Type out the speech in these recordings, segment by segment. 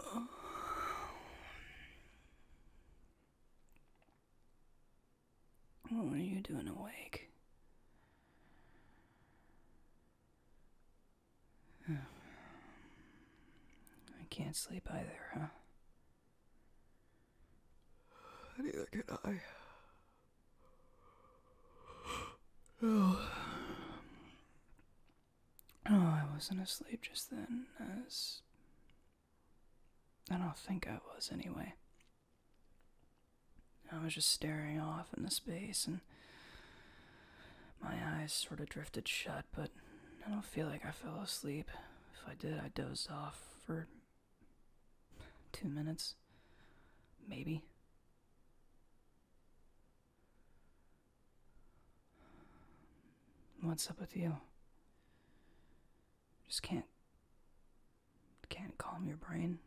Oh. What are you doing awake? I can't sleep either, huh? Neither can I. Oh. oh, I wasn't asleep just then, as. I don't think I was anyway. I was just staring off in the space and my eyes sort of drifted shut, but I don't feel like I fell asleep. If I did, I dozed off for two minutes, maybe. What's up with you? Just can't can't calm your brain.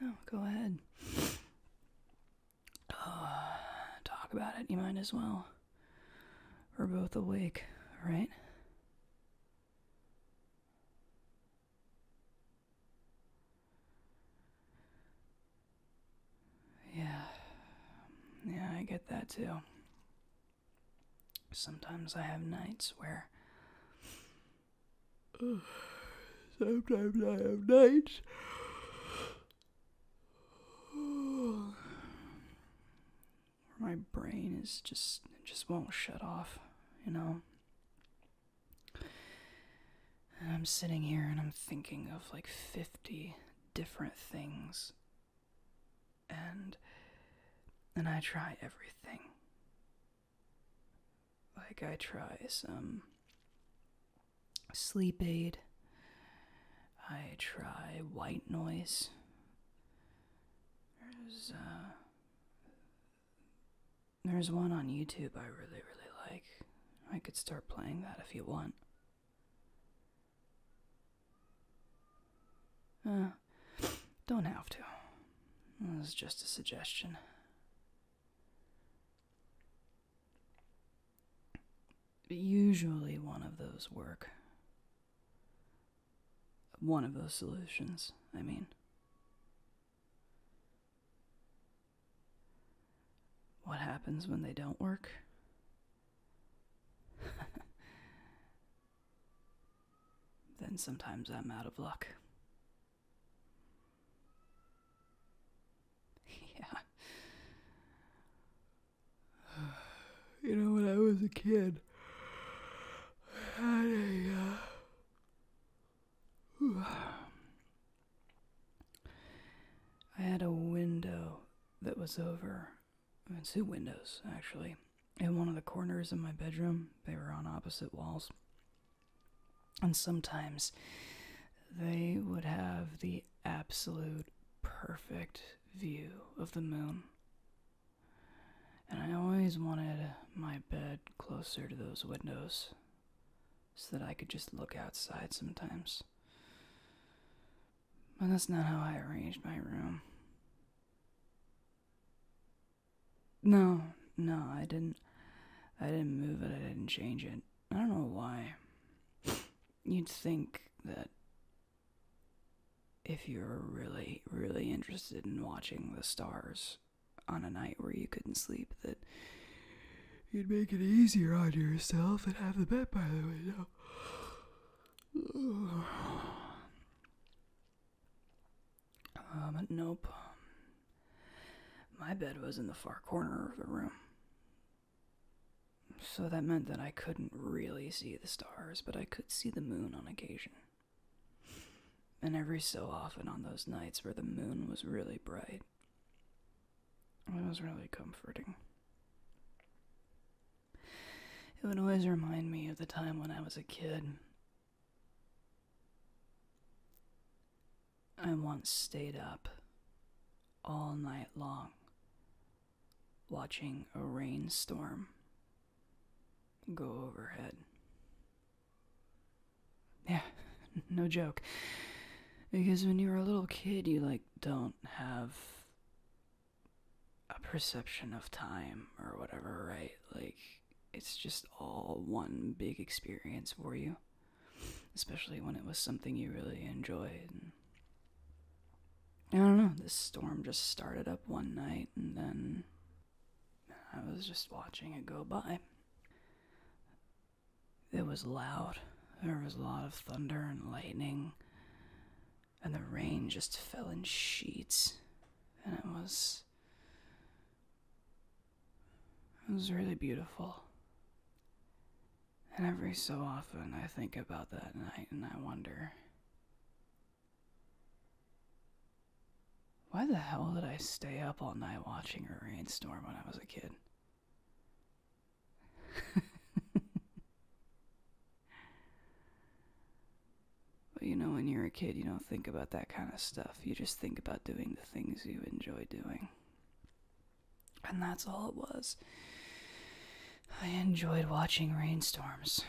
No, go ahead. Uh, talk about it, you might as well. We're both awake, right? Yeah. Yeah, I get that too. Sometimes I have nights where Sometimes I have nights. where My brain is just just won't shut off, you know. I'm sitting here and I'm thinking of like 50 different things. And and I try everything like I try some sleep aid, I try white noise. There's uh, there's one on YouTube I really really like. I could start playing that if you want. Uh, don't have to. This just a suggestion. Usually, one of those work. One of those solutions, I mean. What happens when they don't work? then sometimes I'm out of luck. yeah. You know, when I was a kid, I had a. had a window that was over. I Two windows, actually in one of the corners of my bedroom. They were on opposite walls. And sometimes they would have the absolute perfect view of the moon. And I always wanted my bed closer to those windows so that I could just look outside sometimes. But that's not how I arranged my room. No, no, I didn't. I didn't move it. I didn't change it. I don't know why. You'd think that if you're really, really interested in watching the stars on a night where you couldn't sleep, that you'd make it easier on yourself and have the bed by the way, window. Um, nope. My bed was in the far corner of the room. So that meant that I couldn't really see the stars, but I could see the moon on occasion. And every so often on those nights where the moon was really bright, it was really comforting. It would always remind me of the time when I was a kid. I once stayed up all night long watching a rainstorm go overhead. Yeah, no joke. Because when you were a little kid, you like don't have a perception of time or whatever, right? Like it's just all one big experience for you, especially when it was something you really enjoyed. And I don't know, this storm just started up one night and then I was just watching it go by. It was loud. There was a lot of thunder and lightning and the rain just fell in sheets. And it was. It was really beautiful. And every so often I think about that night and I wonder. Why the hell did I stay up all night watching a rainstorm when I was a kid? but you know, when you're a kid, you don't think about that kind of stuff. You just think about doing the things you enjoy doing. And that's all it was. I enjoyed watching rainstorms.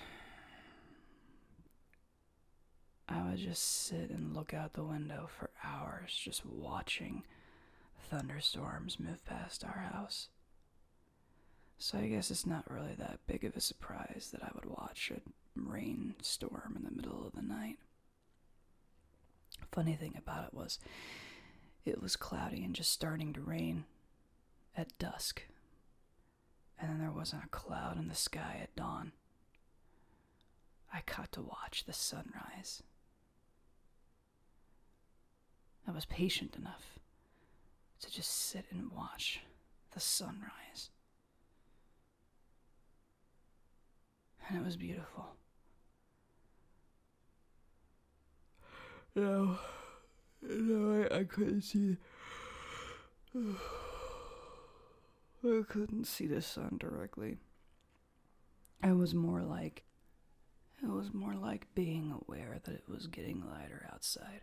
I would just sit and look out the window for hours, just watching thunderstorms move past our house. So I guess it's not really that big of a surprise that I would watch a rainstorm in the middle of the night. Funny thing about it was, it was cloudy and just starting to rain at dusk. And then there wasn't a cloud in the sky at dawn. I caught to watch the sunrise. I was patient enough to just sit and watch the sunrise. And it was beautiful. You know, I couldn't see. I couldn't see the sun directly. It was more like it was more like being aware that it was getting lighter outside,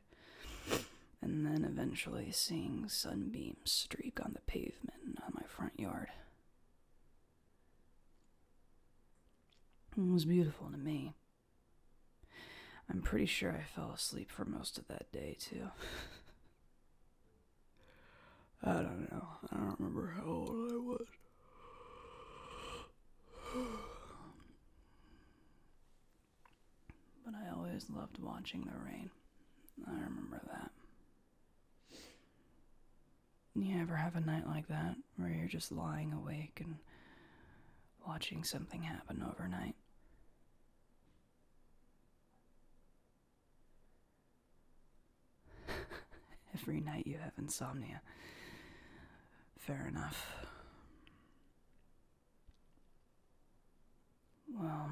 and then eventually seeing sunbeams streak on the pavement on my front yard. It was beautiful to me. I'm pretty sure I fell asleep for most of that day, too. I don't know. I don't remember how old I was. But I always loved watching the rain. I remember that. You ever have a night like that where you're just lying awake and watching something happen overnight? Every night you have insomnia. Fair enough. Well,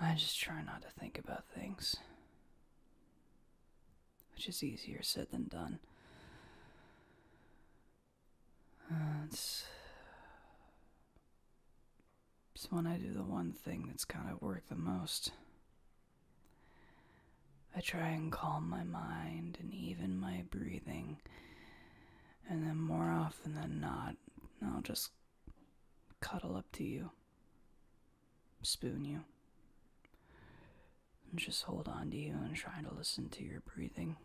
I just try not to think about things, which is easier said than done. Uh, it's so when I do the one thing that's kind of worked the most. I try and calm my mind and even my breathing, and then more often than not, I'll just cuddle up to you, spoon you, and just hold on to you and try to listen to your breathing.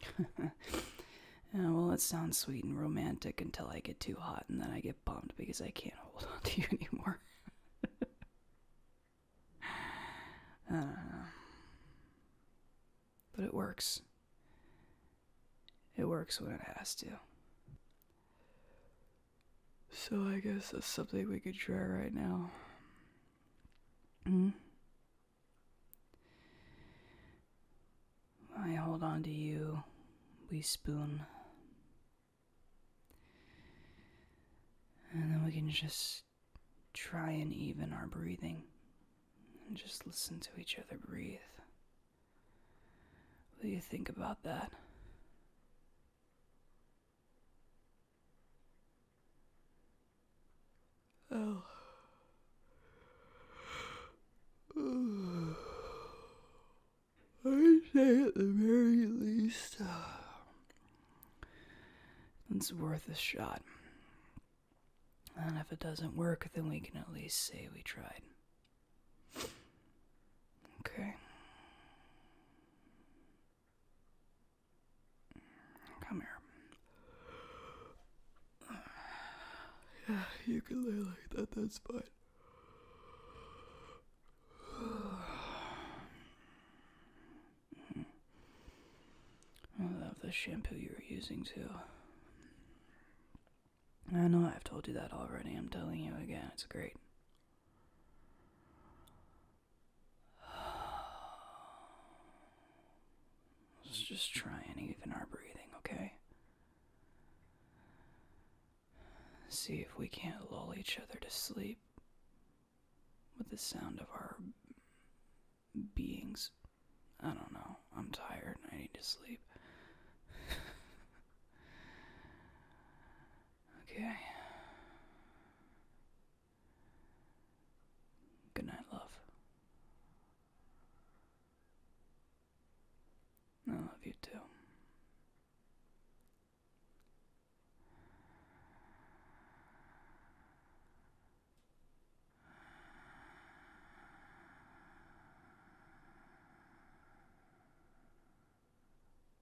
well, it sounds sweet and romantic until I get too hot and then I get bummed because I can't hold on to you anymore. But it works. It works when it has to. So I guess that's something we could try right now. hmm? I hold on to you, we spoon. And then we can just try and even our breathing. And just listen to each other breathe. What do you think about that? Oh. I say at the very least, uh, it's worth a shot. And if it doesn't work, then we can at least say we tried. Okay. Come here. Yeah, you can lay like that, that's fine. I love the shampoo you were using too. I know I've told you that already. I'm telling you again. It's great. Let's just try and even our breathing, okay? See if we can't lull each other to sleep with the sound of our beings. I don't know. I'm tired I need to sleep. okay. Good night, love. I love you too.